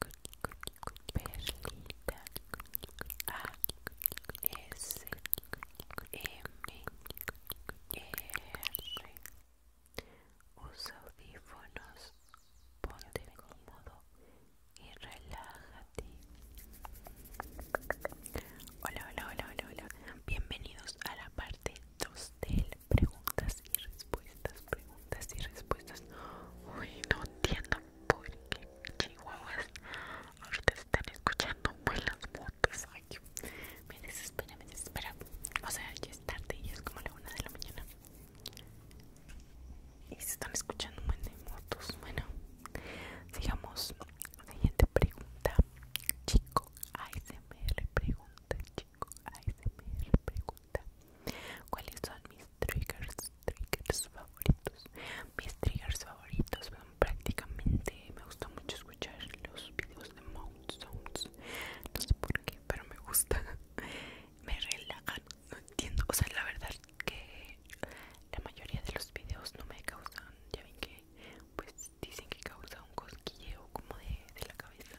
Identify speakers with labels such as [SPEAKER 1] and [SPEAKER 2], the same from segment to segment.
[SPEAKER 1] Perlita A S M R Usa audífonos, ponte cómodo y relájate. Hola, hola, hola, hola, hola. Bienvenidos a la parte 2 preguntas y respuestas, preguntas y respuestas. Uy, no entiendo por qué chihuahuas ahorita están escuchando buenas motos. me desespera, me desespera. O sea, ya es tarde y es como la una de la mañana. Y se están escuchando buenas motos. Bueno, sigamos. Siguiente pregunta. Chico ASMR pregunta. Chico ASMR pregunta. ¿Cuáles son mis triggers, favoritos? Mis triggers favoritos prácticamente Me gusta mucho escuchar los videos de mouth Sounds No sé por qué, pero me gusta Me relajan, no entiendo O sea, la verdad que la mayoría de los videos no me causan Ya ven que pues dicen que causa un cosquilleo como de la cabeza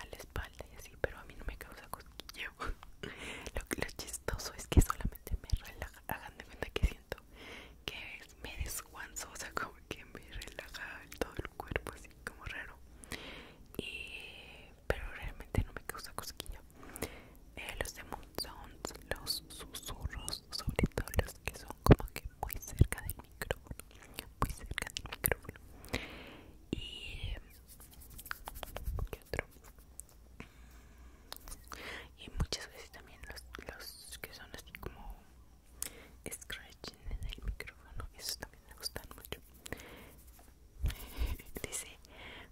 [SPEAKER 1] a la espalda y así, pero a mí no me causa cosquillo lo, chistoso es que solamente me relaja. Hagan de cuenta que siento que me desguanzo, o sea, como que me relaja todo el cuerpo, así como raro. Y, pero realmente no me causa cosquillo. Eh, los los susurros, sobre todo los que son como que muy cerca del micrófono, muy cerca del micrófono. Y ¿qué otro y muchas veces también los, los que son así como scratching en el micrófono esos también me gustan mucho dice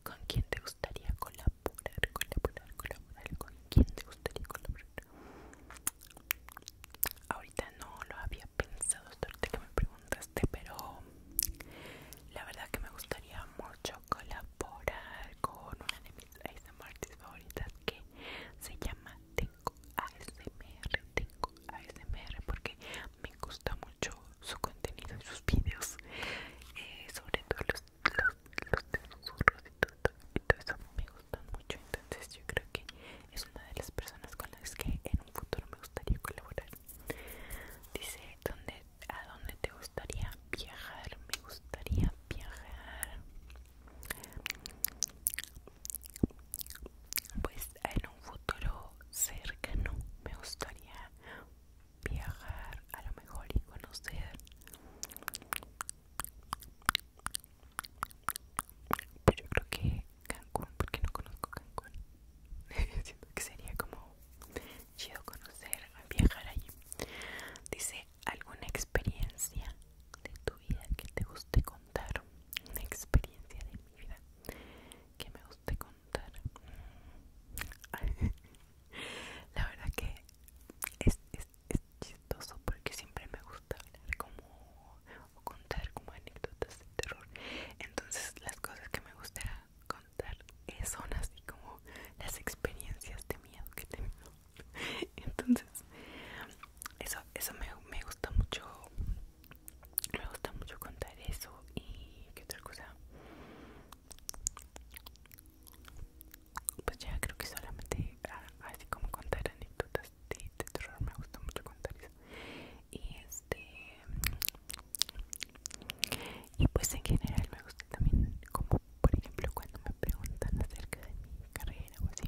[SPEAKER 1] con quién te gustaría colaborar colaborar colaborar con quién te gustaría colaborar ahorita no lo había pensado que me preguntaste, pero la verdad que me gustaría mucho colaborar con una de mis ASMRs favoritas que se llama Tengo ASMR, Tengo ASMR porque me gusta mucho su contenido y sus videos, eh, sobre todo los, los, los susurros y todo, y eso me gustan mucho, entonces yo creo que es una de las personas con las que en un futuro me gustaría colaborar. Dice, ¿a dónde te gustaría viajar? Me gustaría viajar. Pues en un futuro cercano me gustaría viajar a lo mejor y conocer pero yo creo que Cancún, porque no conozco Cancún. Siento que sería como chido conocer, viajar allí. Dice, ¿alguna experiencia de tu vida que te guste contar? Una experiencia de mi vida que me guste contar. La verdad que es, chistoso porque siempre me gusta hablar como o contar como anécdotas de terror. Entonces las cosas que me gustarán contar eso son así como las experiencias de miedo que tengo entonces eso eso me, gusta mucho me gusta mucho contar eso y qué otra cosa pues ya creo que solamente ah, así como contar anécdotas de, de terror me gusta mucho contar eso y es este y pues en general me gusta también como por ejemplo cuando me preguntan acerca de mi carrera o así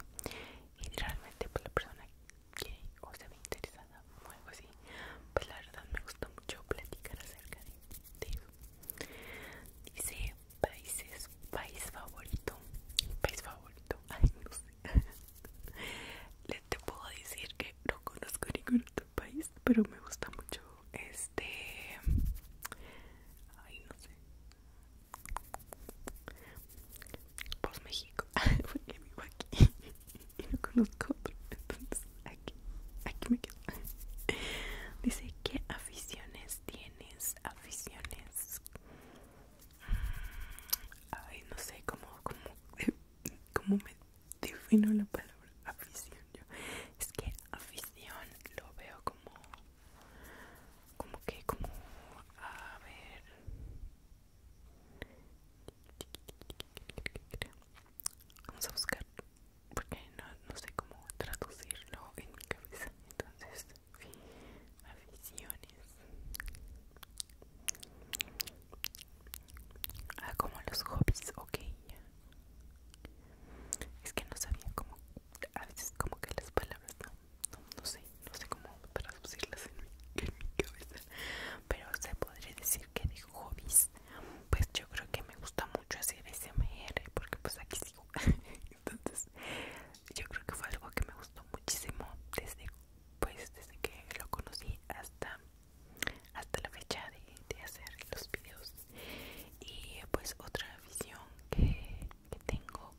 [SPEAKER 1] y realmente pues la persona que o se ve interesada o algo así pues la verdad me gusta mucho platicar acerca de, dice países país favorito país favorito ay no sé te puedo decir que no conozco ningún otro país, pero me gusta mucho este. Ay, no sé. pos México, porque vivo aquí y no conozco otro, entonces aquí, aquí me quedo. Dice: ¿Qué aficiones tienes? Aficiones. Mm, ay, no sé, cómo, ¿Cómo me defino la palabra afición? Yo, es que afición lo veo como. Como que, como. A ver. Vamos a buscar. Porque no, no sé cómo traducirlo en mi cabeza. Entonces, aficiones. Ah, como los hobbies, ok. Es que no sabía cómo, a veces como que las palabras no, sé, no sé cómo traducirlas en mi, cabeza. Pero se podría decir que de hobbies, pues yo creo que me gusta mucho hacer SMR, porque pues aquí sigo. Entonces, yo creo que fue algo que me gustó muchísimo desde, pues, desde que lo conocí hasta hasta la fecha de, hacer los videos y pues otra visión que, tengo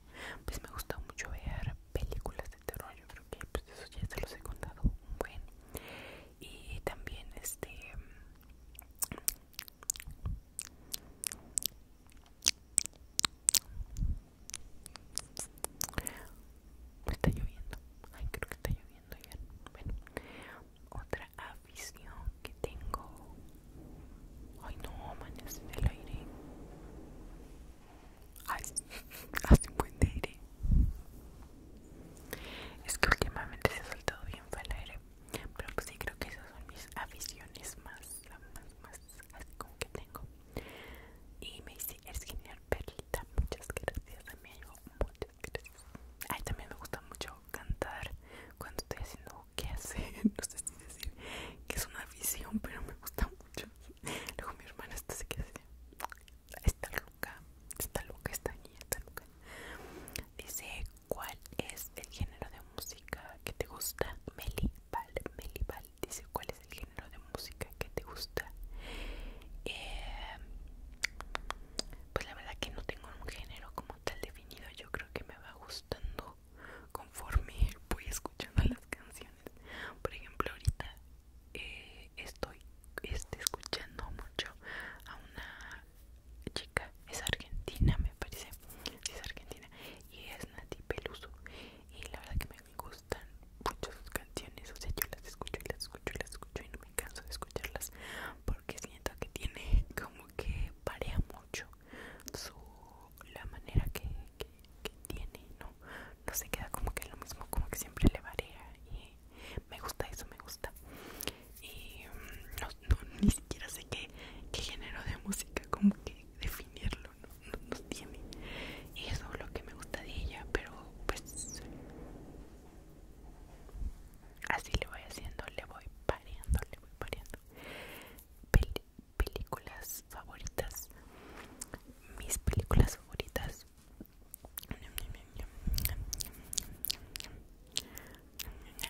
[SPEAKER 1] pues me gusta mucho ver películas de terror yo creo que pues eso ya se los he contado y también este pues, está lloviendo ay creo que está lloviendo otra afición que tengo. Ay, no, amanece el aire. Ay, hace un buen aire. Es que últimamente se ha soltado bien para el aire. Pero pues sí, creo que esas son mis aficiones más, más, más, así como que tengo. Y me dice, es genial, Perlita. Muchas gracias, me ayudó un Ay, también me gusta mucho cantar cuando estoy haciendo qué hacer. No sé si decir que es una visión, pero me gusta mucho. Luego mi hermana está se que hace. Está loca, está loca, está niña, está loca. Dice, ¿cuál es el género de música que te gusta? Melibal, Melibal. Dice, ¿cuál es el género de música que te gusta? Eh, pues la verdad que no tengo un género como tal definido yo creo que me va gustando conforme voy escuchando las canciones por ejemplo ahorita eh, estoy este, escuchando mucho a una chica es argentina me parece es argentina y es Nati Peluso y la verdad que me gustan mucho sus canciones o sea yo las escucho y las escucho y las escucho y no me canso de escucharlas porque siento que tiene como que parea mucho su la manera que, que, tiene no no se queda como que lo mismo como que siempre le varía y me gusta eso me gusta y mm, no, ni siquiera sé qué, qué género de música como que definirlo no, no, no tiene y eso es lo que me gusta de ella pero pues así le voy haciendo, le voy pareando, le voy pareando. películas favoritas, mis películas favoritas.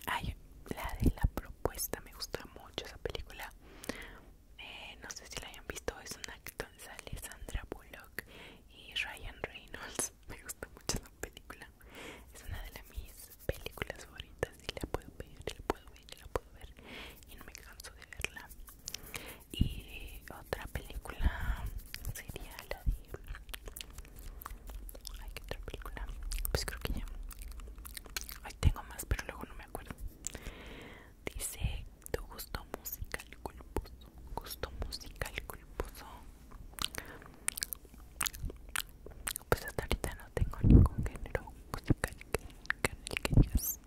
[SPEAKER 1] Ay, la de la propuesta, me gusta mucho esa película. Eh, no sé si la hayan visto, es una con Sandra Bullock y Ryan Reynolds me gusta mucho la película es una de mis películas favoritas y la puedo ver, la puedo ver, la puedo ver y no me canso de verla y otra película sería la de Hay que otra película pues creo que ya hoy tengo más pero luego no me acuerdo dice tu gusto musical culposo gusto musical culposo pues hasta ahorita no tengo ningún género musical que, que digas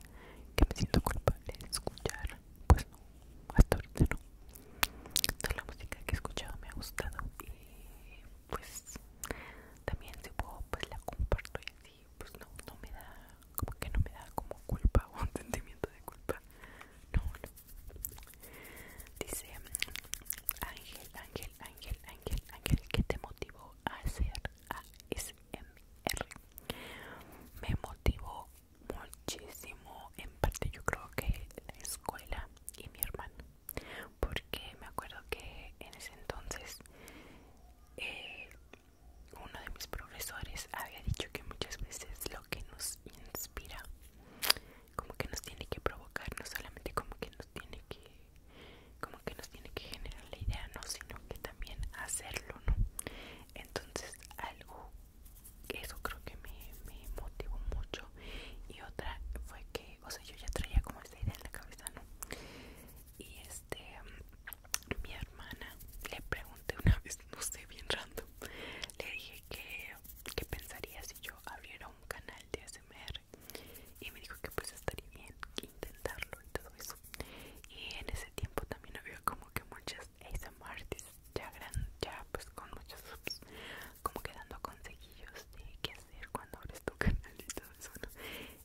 [SPEAKER 1] que me siento culpable de escuchar. Pues no, hasta ahorita no. Toda la música que he escuchado me ha gustado y pues también si puedo pues la comparto y así pues no, no me da como que no me da como culpa o un sentimiento de culpa. No, no. Dice Ángel, Ángel, Ángel, Ángel, Ángel, ¿qué te motivó a hacer ASMR? Me motivó muchísimo, en parte yo creo que la escuela y mi hermano, porque me acuerdo que en ese entonces eh, uno de mis profesores había dicho que muchas veces lo que nos inspira como que nos tiene que provocar, no solamente como que nos tiene que como que nos tiene que generar la idea, no, sino que también hacerlo, ¿no? Entonces, algo eso creo que me, motivó mucho y otra fue que, o sea, yo ya traía como esta idea en la cabeza, ¿no? Y este, mi hermana le pregunté una vez, no sé, bien random, le dije que pensaría si yo abrieron un canal de ASMR y me dijo que pues estaría bien que intentarlo y todo eso y en ese tiempo también había como que muchas ASMR ya, gran, ya pues con muchos subs como que dando consejillos de qué hacer cuando abres tu canal y todo eso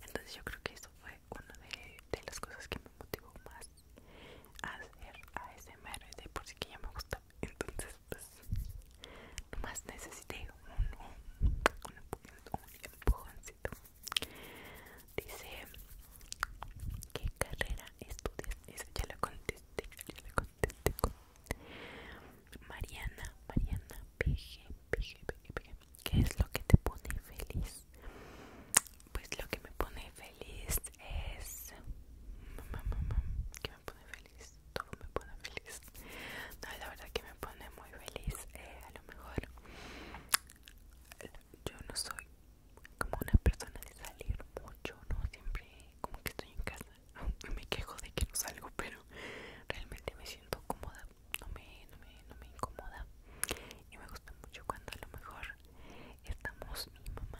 [SPEAKER 1] entonces yo creo que eso fue una de, las cosas que me motivó más a hacer ASMR de por sí que ya me gusta entonces pues nomás necesité un, un, un, dice ¿qué carrera estudias? eso ya lo contesté ya le contesté con Mariana Mariana PG PG PG ¿qué es lo que te pone feliz? pues lo que me pone feliz es mm, mm, mm, me pone feliz, todo me pone feliz. No, la verdad que me pone muy feliz. Eh, a lo mejor yo no soy como una persona de salir mucho, ¿no? Siempre como que estoy en casa. me quejo de que no salgo, pero realmente me siento cómoda. No me, incomoda. Y me gusta mucho cuando a lo mejor estamos mi mamá,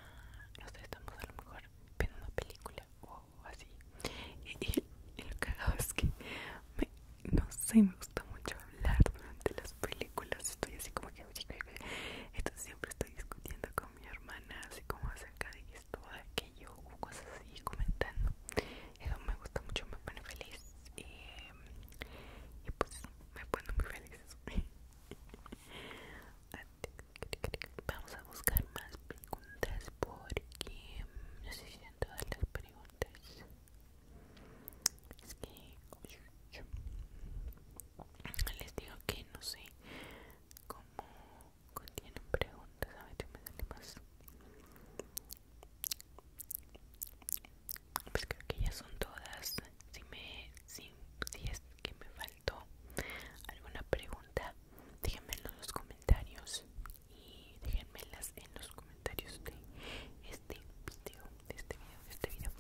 [SPEAKER 1] No estamos a lo mejor viendo una película o así y, lo es que no sé, me gusta mucho hablar durante las películas estoy así como que entonces siempre estoy discutiendo con mi hermana así como acerca de esto, de aquello o cosas así, comentando eso me gusta mucho, me pone feliz y, pues me pone muy feliz Vamos a buscar más preguntas porque no sé si son todas las preguntas. Es que les digo que no sé cómo contienen preguntas. A ver si me sale más. Pues creo que ya son todas. Si me, si, si es que me falta alguna pregunta, déjenmelo en los comentarios y déjenmelas en los comentarios de este video, de este video, de este video.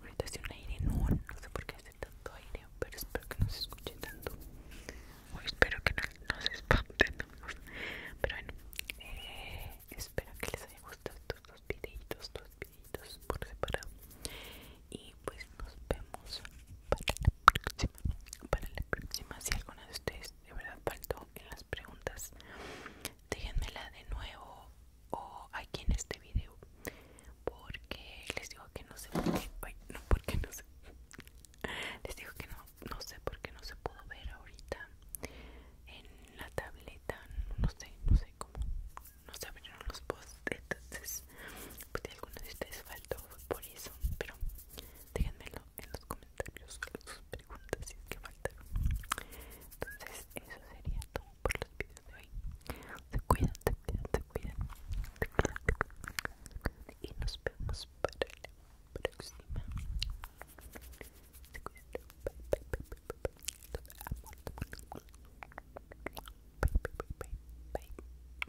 [SPEAKER 1] Ahorita hace un aire no, no sé por qué hace tanto aire, pero espero que no se escuche tanto. O espero que no, se espanten. Pero bueno, eh, espero que les haya gustado estos dos videitos, dos videitos por separado y pues nos vemos para la próxima para la próxima si alguna de ustedes de verdad faltó en las preguntas déjenmela de nuevo o aquí en este video porque les digo que no sé por qué no porque no sé les digo que no no sé por qué no se pudo ver ahorita en la tableta no sé no sé cómo no se abrieron los post entonces pues algunos de ustedes faltó por eso, pero déjenmelo en los comentarios sus preguntas si es que faltaron. Entonces eso sería todo por los videos de hoy. Se cuidan, se cuidan, se cuidan, Y nos vemos para la próxima. Te Bye, bye, bye.